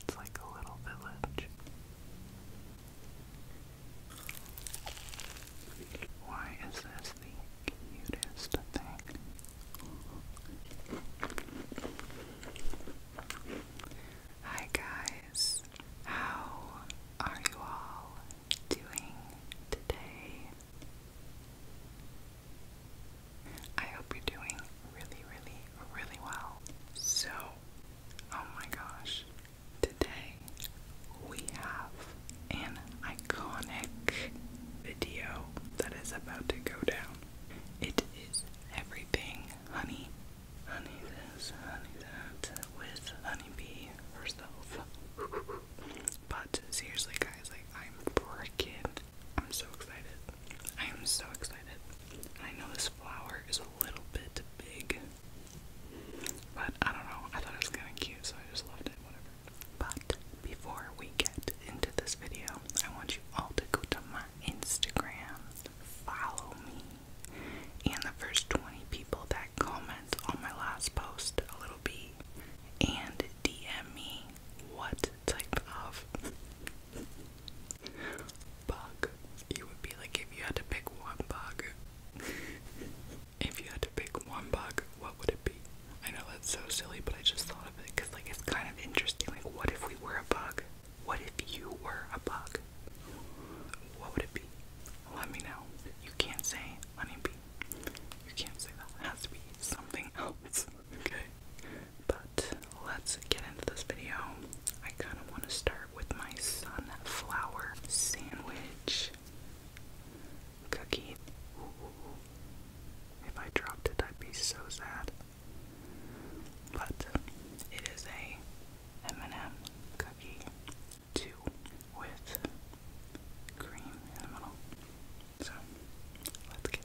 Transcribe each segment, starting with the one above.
It's like a little village. Why is this the cutest thing? Hi guys, how are you all doing today? I hope you're doing really, really, really well. So, oh my gosh, today we have an iconic video that is about to go down. It is everything honey. Honey this, honey that, with honeybee herself. but seriously, guys, like, I'm freaking I'm so excited. I am so excited. I know this flower is a little bit big, but I don't know. I thought it was kind of cute, so I just loved it, whatever. But before we get into this video, I want you all to go to my Instagram, follow me, and the first 20 people that comment on my last post, a little bee, and DM me what type of bug you would be like if you had to pick one bug. if you had to pick one bug, what would it be? I know that's so silly, but I just thought of it because like it's kind of interesting. Like, what if we were a bug? What if you were a bug? What would it be? Let me know. You can't say honeybee. You can't say that. It has to be something else. Okay. But let's get into this video. I kind of want to start with my sunflower sandwich cookie. if I dropped it, I'd be so sad. But it is a M&M cookie two with cream in the middle. So let's get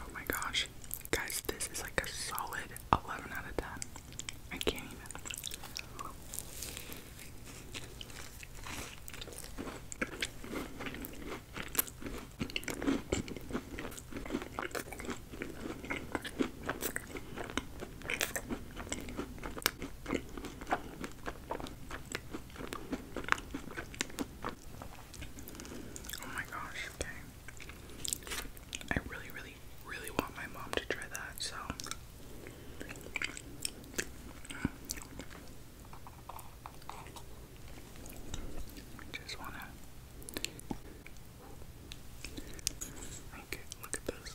Oh my gosh. Guys, this is like a solid 11 out of 10. I can't even. Oh my gosh, okay. I really, really, really want my mom to try that, so. Just wanna. look at this.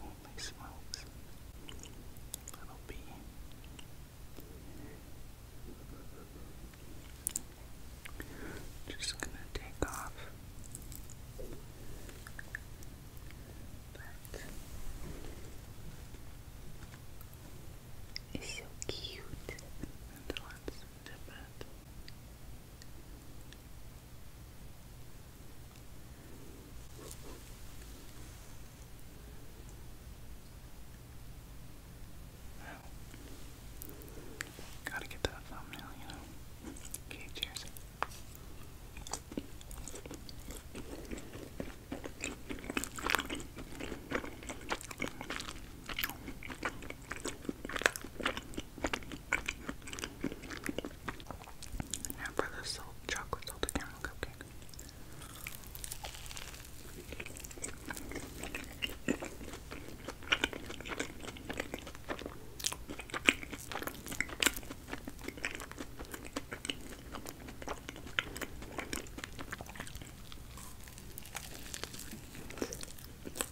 Holy smokes. Little bee. Just gonna take off that is so cute and let's dip it Wow. Gotta get that thumbnail, you know. Okay, cheers. Now for the salt, chocolate salted caramel cupcake.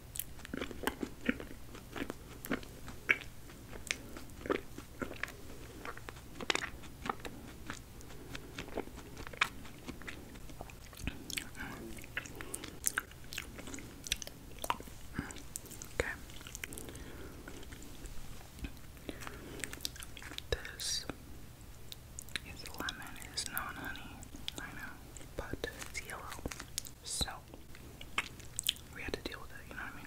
Okay. This is lemon, it is not honey. I know but it's yellow. So we had to deal with it, you know what I mean?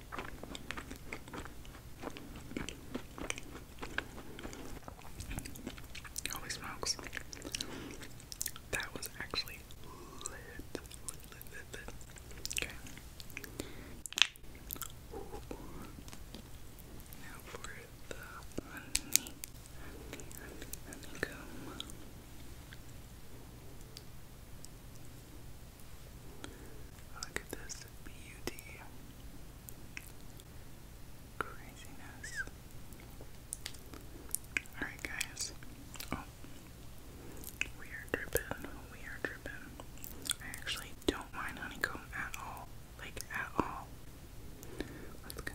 Holy smokes. That was actually lit. Okay. Now for the honey. Honey, honey, honeycomb. Look at this beauty. Craziness. Alright, guys. Oh. We are dripping. We are dripping. I actually don't mind honeycomb at all. Like, at all. Let's go.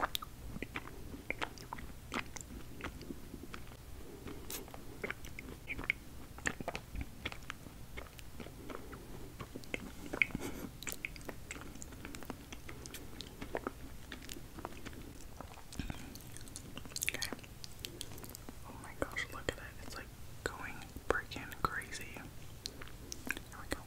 Okay. Oh my gosh, look at it. It's like going freaking crazy. Here we go.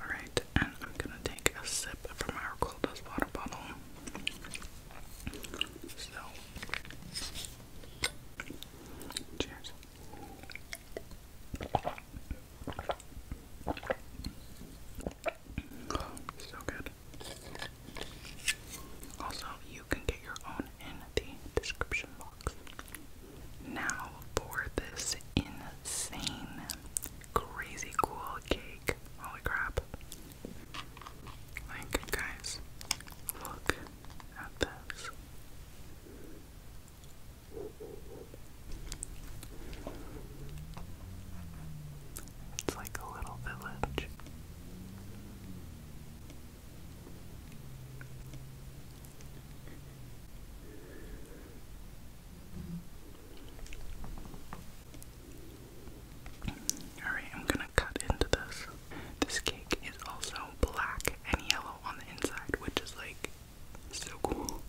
Alright, and I'm gonna take a sip from our coldest water bottle. So, cheers. so good. Also, you can get your own in the description box. Now for this insane, crazy cool cake. Holy crap. Like, guys, look at this. It's like a little village. Alright, I'm gonna cut into this. This cake is also black and yellow on the inside, which is like so cool.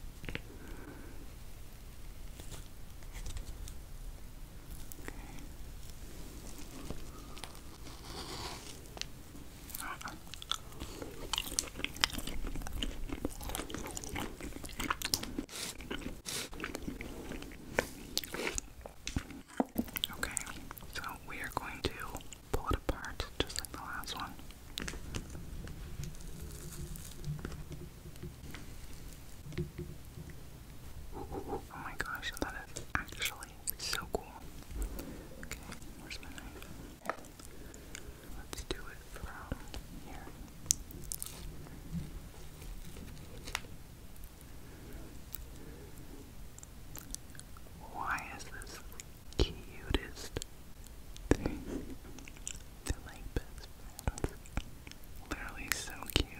Okay, so we are going to pull it apart just like the last one. Oh my gosh, that is actually really so cool. Okay, where's my knife? Let's do it from here. Why is this cutest thing? They're like best friends. Literally so cute.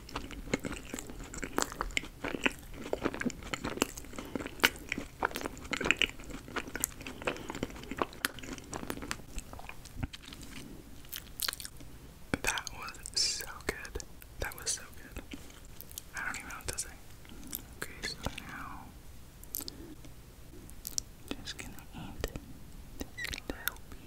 That was so good. That was so good. I don't even know what to say. Okay, so now just gonna eat this little bee.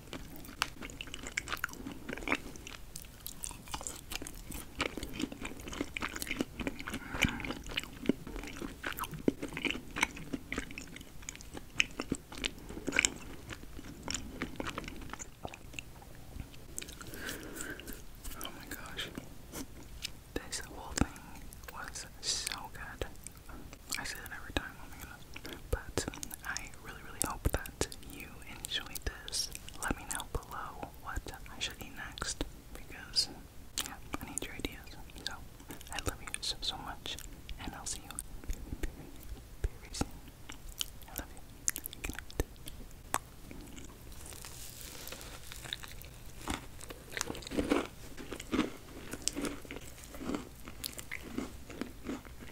Oh my gosh. This whole thing was so good. I say that every time but I really, really hope that you enjoyed this. Let me know below what I should eat next because, yeah, I need your ideas. So, I love you so, so much, and I'll see you I love you.